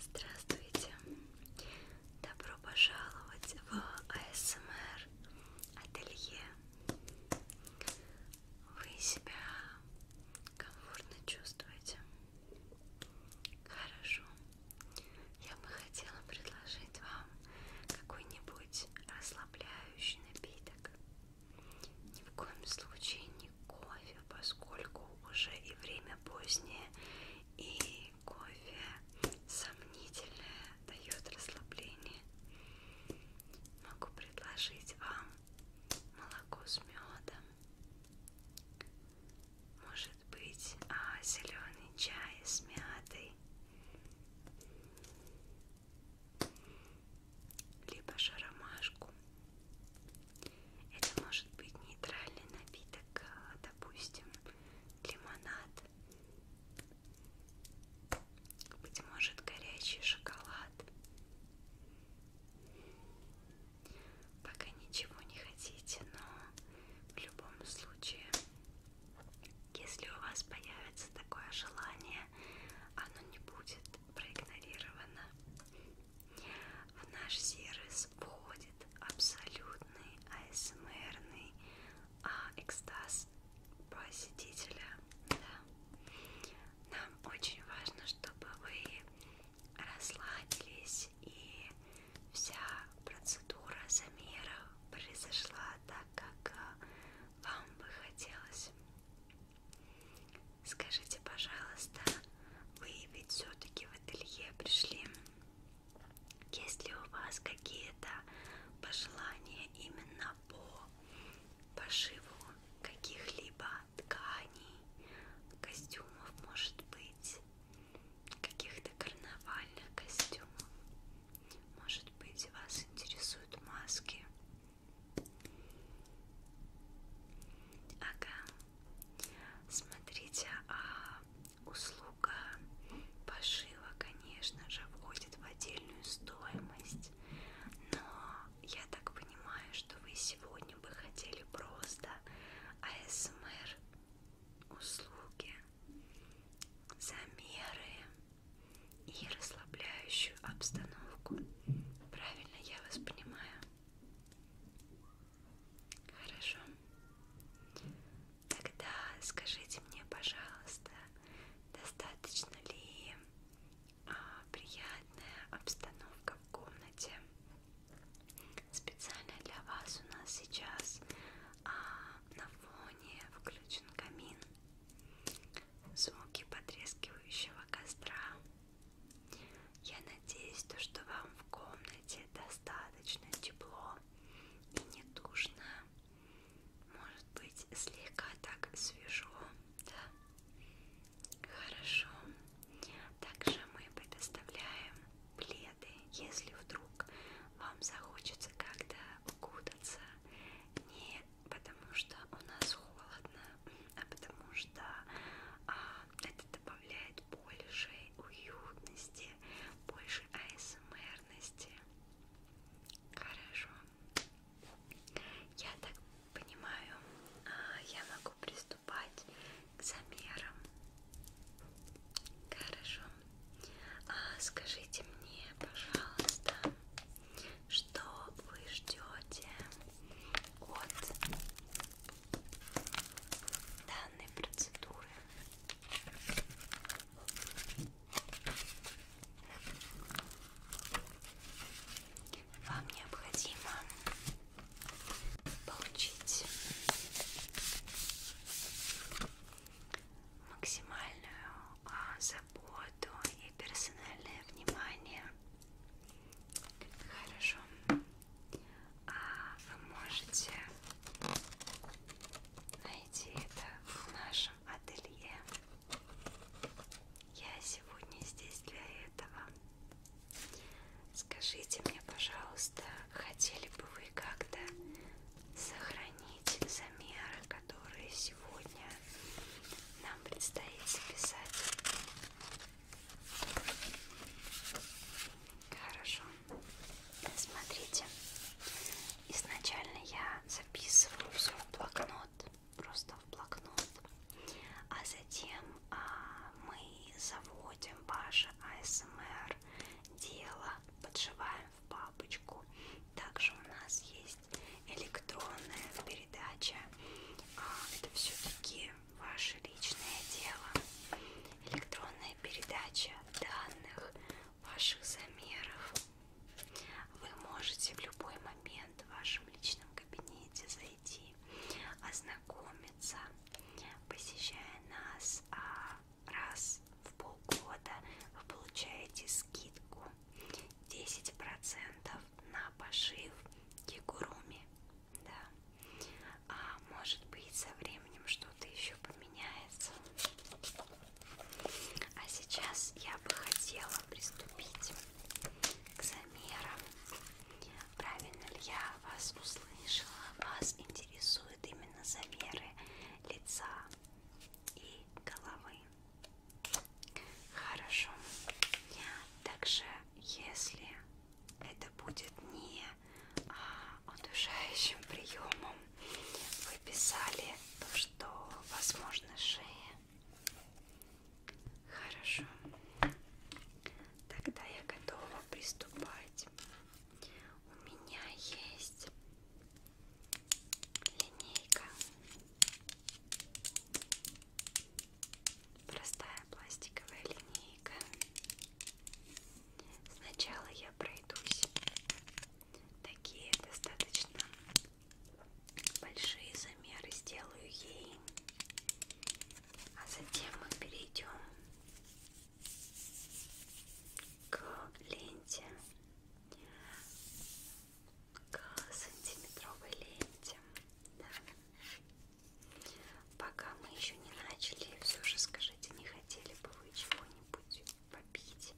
Здравствуйте! Добро пожаловать в АСМР ателье. Вы себя комфортно чувствуете? Хорошо. Я бы хотела предложить вам какой-нибудь расслабляющий напиток напиток. Ни в коем случае не кофе, поскольку уже и время позднее, и кофе сомнительное дает расслабление. Могу предложить вам молоко с медом. Может быть, а зеленый чай с мятой либо же ромашку. Это может быть нейтральный напиток, э, допустим, лимонад. Быть может горячий шоколад. Пока ничего не хотите, но в любом случае если у вас появится такое желание, оно не будет проигнорировано. В наш сервис входит абсолютный асмрный а, экстаз посетителя. Да. Нам очень важно, чтобы вы расслабились и вся процедура замера произошла так, как а, вам бы хотелось. Скажите, пожалуйста, вы ведь все-таки в ателье пришли. Есть ли у вас какие-то пожелания именно по пошиву каких-либо тканей, костюмов, может быть, каких-то карнавальных костюмов? Может быть, вас интересуют маски? Ага. Смотрите, а услуга пошива, конечно же, входит в отдельную стоимость. Но я так понимаю, что вы сегодня бы хотели просто АСМР услуги, замеры, и расслабляющую обстановку. Правильно я вас понимаю? Хорошо. Тогда скажите мне, пожалуйста, достаточно ли а, приятная обстановка в комнате? Специально для вас у нас сейчас а, на фоне включен камин звуки потрескивающего костра. Я надеюсь, то, что вам в комнате достаточно тепло и не душно. Может быть, слегка так свежо, да? Хорошо. Также мы предоставляем пледы, если вдруг вам захочется как-то укутаться. Не потому что у нас холодно, а потому что а, это добавляет больше уютности, больше асмрности. Хорошо. Я так понимаю, а, я могу приступать к замерам. Хорошо. А, скажите мне, пожалуйста, что вы ждете от данной процедуры. Вам необходимо получить максимальную заботу и персональное внимание. Хорошо. А вы можете найти это в нашем ателье. Я сегодня здесь для этого. Скажите мне, пожалуйста, хотели бы вы как-то сохранить дополнительный замер, который сегодня нам предстоит записать. Хорошо. Смотрите. Изначально я записываю все в блокнот, просто в блокнот, а затем а, мы заводим ваше АСМР дело, подживаем в папочку. Также у нас есть есть электронная передача. А это все-таки ваше личное дело. Электронная передача данных ваших замеров. Вы можете в любой момент в вашем личном кабинете зайти, ознакомиться, посещая нас а раз в полгода вы получаете скидку 10 процентов на пошив кигуруми да а может быть со временем что-то еще поменяется а сейчас я бы хотела приступить к замерам правильно ли я вас услышала вас интересуют именно замеры лица и головы Хорошо. Также, если это будет не а, удушающим приемом, вы писали то, что возможно шея. Хорошо. Тогда я готова приступать. У меня есть линейка Простая пластиковая линейка. Сначала я пройдусь. Такие достаточно большие замеры сделаю ей. А затем мы перейдем к ленте к сантиметровой ленте. Да. Пока мы еще не начали, все же скажите, не хотели бы вы чего-нибудь попить?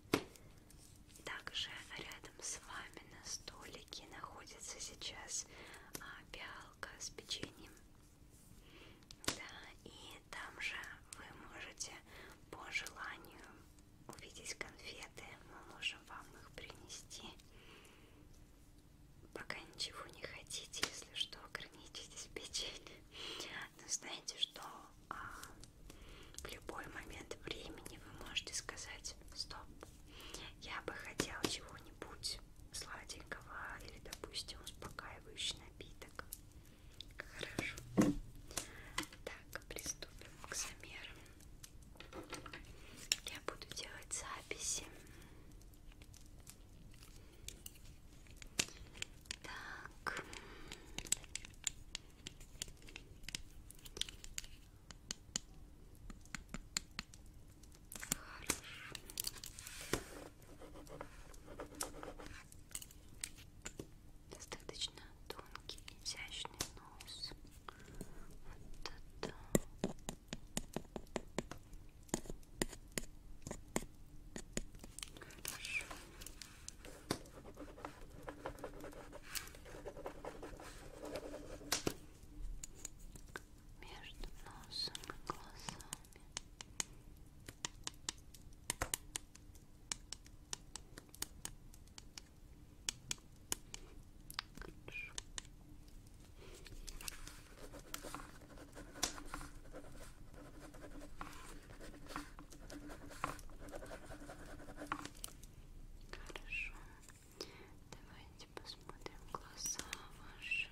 Также рядом с вами на столике находится сейчас а, пиалка с печеньем. Да, и там же вы можете по желанию увидеть конфеты, мы можем вам их принести. Пока ничего не хотите, если что, ограничитесь печеньем. Но знаете, что а, в любой момент времени вы можете сказать «Стоп, я бы хотел чего-нибудь сладенького или, допустим, успокаивающий напиток». Хорошо. Так, приступим к замерам. Я буду делать записи. Так. Хорошо. Достаточно тонкий, изящный нос. Вот это. Хорошо. Между носом и глазами. Хорошо. Хорошо. Давайте посмотрим глаза ваши.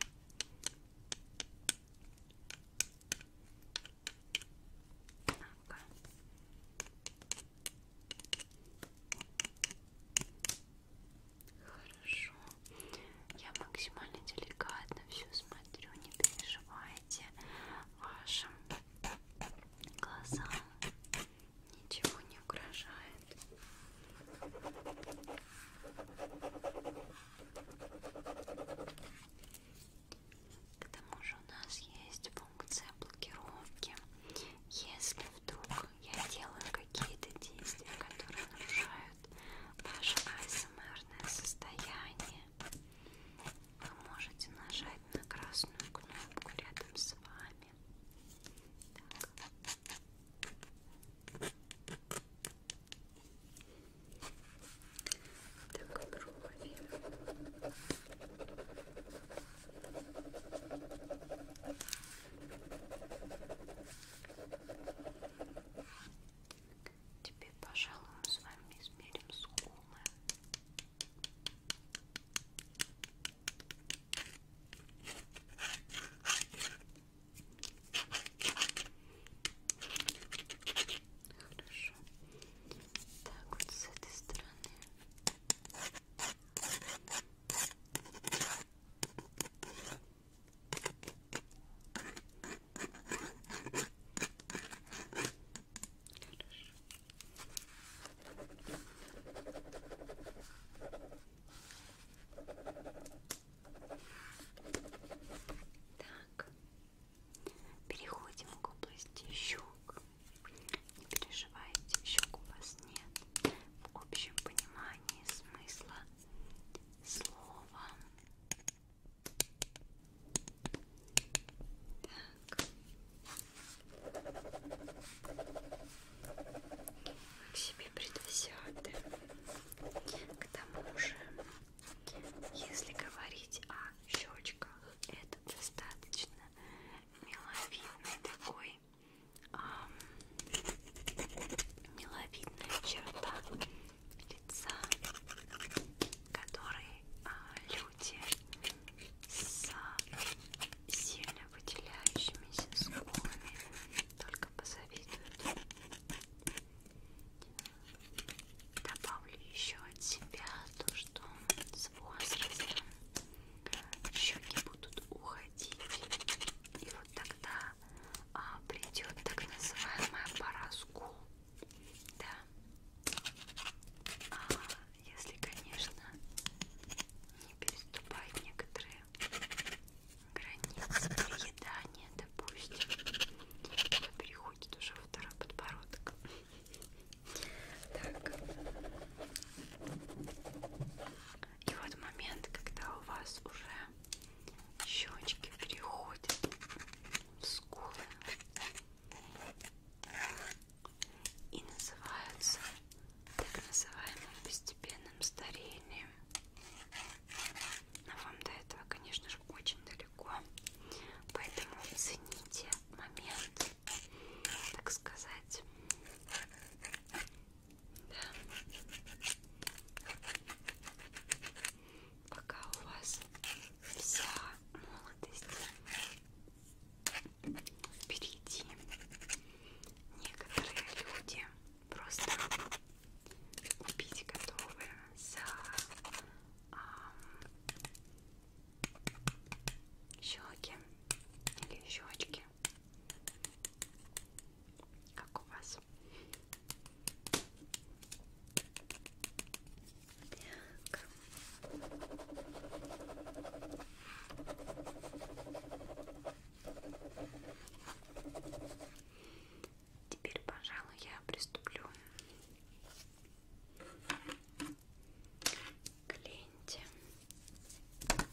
Ага. Хорошо. Я максимально деликатно все смотрю, не переживайте вашим глазам. Ничего не угрожает. К тому же у нас есть функция блокировки. Если вдруг я делаю какие-то действия, которые нарушают ваше асмрное состояние, вы можете нажать на красную кнопку рядом с вами. Так. Так, брови. Теперь, пожалуй, мы с вами измерим скулы. Хорошо. Так, вот с этой стороны. Так. Так, переходим к области щек. Не переживайте, щек у вас нет. В общем понимании смысла слова. Так. Вы к себе предвзяты. К тому же, если говорить о щечках, это достаточно миловидный такой такой эм, миловидная черта лица, который э, а, люди с сильно выделяющимися скулами только позавидуют. Добавлю еще от себя то, что с возрастом щеки будут уходить. И вот тогда а, придет так называемая пора скул. Да. А, если, конечно, не переступать некоторые границы переедания, допустим, это переходит уже во второй подбородок. Так. И вот момент, когда у вас уже щечки переходят в скулы и называются так называемым постепенным старением. Но вам до этого, конечно же, очень далеко, поэтому цените момент так сказать. Да. Пока у вас вся молодость впереди. Некоторые люди просто убить готовы за а, щеки или щечки как у вас? Так. Теперь, пожалуй, я приступлю к ленте. Так.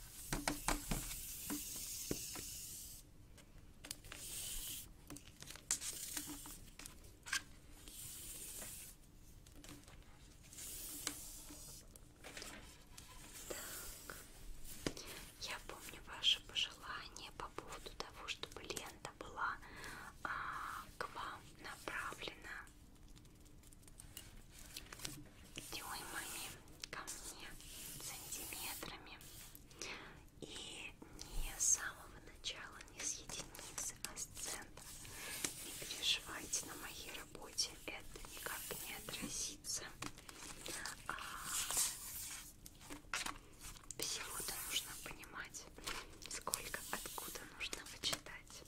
Я помню ваше пожелание по поводу того, чтобы лента была а, к вам направлена дюймами ко мне, сантиметрами. И не с самого начала, не с единицы, а с центра. Не переживайте, на моей работе это никак не отразится. А всего-то нужно понимать, сколько, откуда нужно вычитать.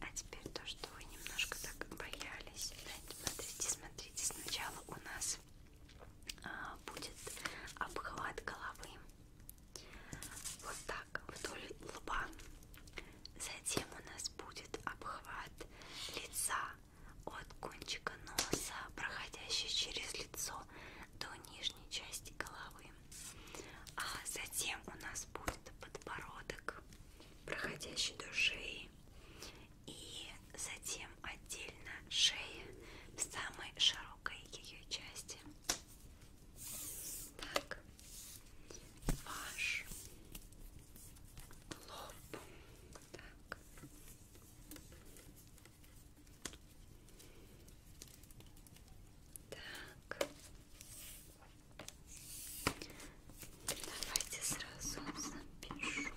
А теперь то, что вы немножко так боялись. Смотрите, смотрите. Сначала у нас а, будет обхват головы. Вот так, вдоль лба. Затем у нас будет обхват лица от кончика носа, проходящей через лицо до нижней части головы. А затем у нас будет подбородок, проходящий до шеи. И затем отдельно шея в самой широкой ее части. Так, ваш лоб. Так. Так. Давайте сразу запишу.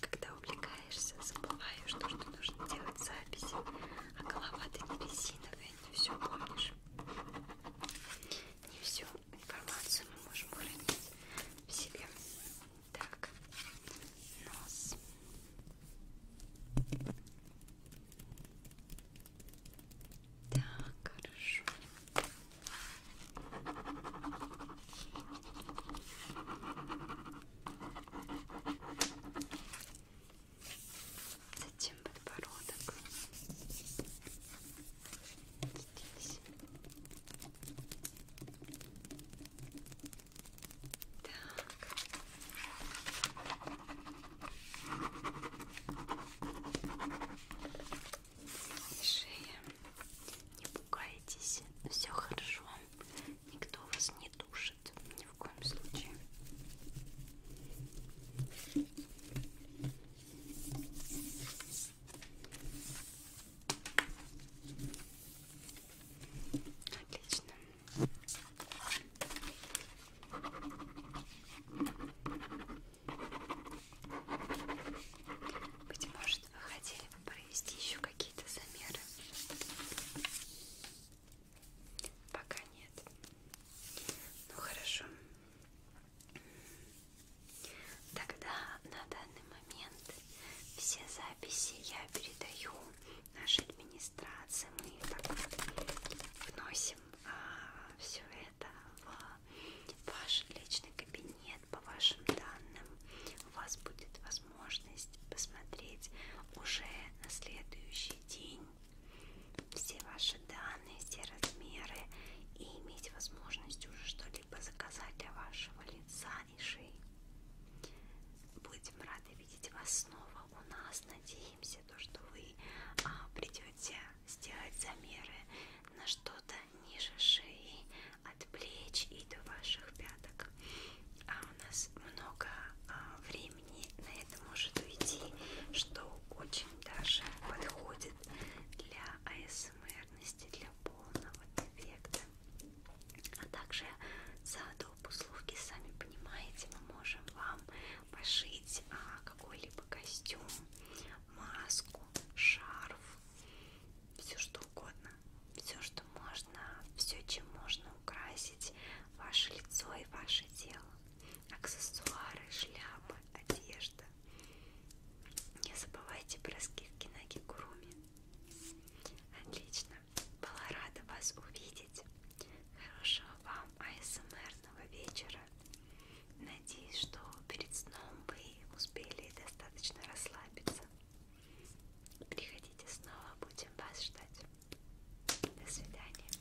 Когда увлекаешься, забываешь, что, что нужно делать записи, а голова-то не резиновая, не все помнишь. Не всю информацию мы можем хранить в себе. Так, нос. Так, хорошо. Затем подбородок здесь. Так. Шея. Не пугайтесь. Все хорошо. Никто вас не душит. Ни в коем случае. Отлично. Быть может, вы хотели бы провести еще какие-то замеры? Пока нет. Ну хорошо. Тогда на данный момент все записи я передаю нашей администрации. Мы так вносим а, все это в ваш личный кабинет по вашим данным. У вас будет возможность посмотреть уже на следующий день все ваши данные, все размеры и иметь возможность уже что-либо либо заказать для вашего лица и шеи. Будем рады видеть вас снова у нас. Надеемся, то, что вы а, придете сделать замеры на что-то ниже шеи, от плеч и до ваших пяток. А у нас много а, времени на это может уйти, что очень даже подходит для АСМРности, для полного эффекта. А также за доп. услуги, сами понимаете, мы можем вам пошить а, какой-либо костюм, маску, шарф, все что угодно, все что можно, все чем можно украсить ваше лицо и ваше тело. Аксессуары, шляпы, одежда. Не забывайте про скидки на Гигуруми. Отлично. Была рада вас увидеть. Хорошего вам АСМРного вечера. Надеюсь, что перед сном вы успели достаточно расслабиться. Приходите снова, будем вас ждать. До свидания.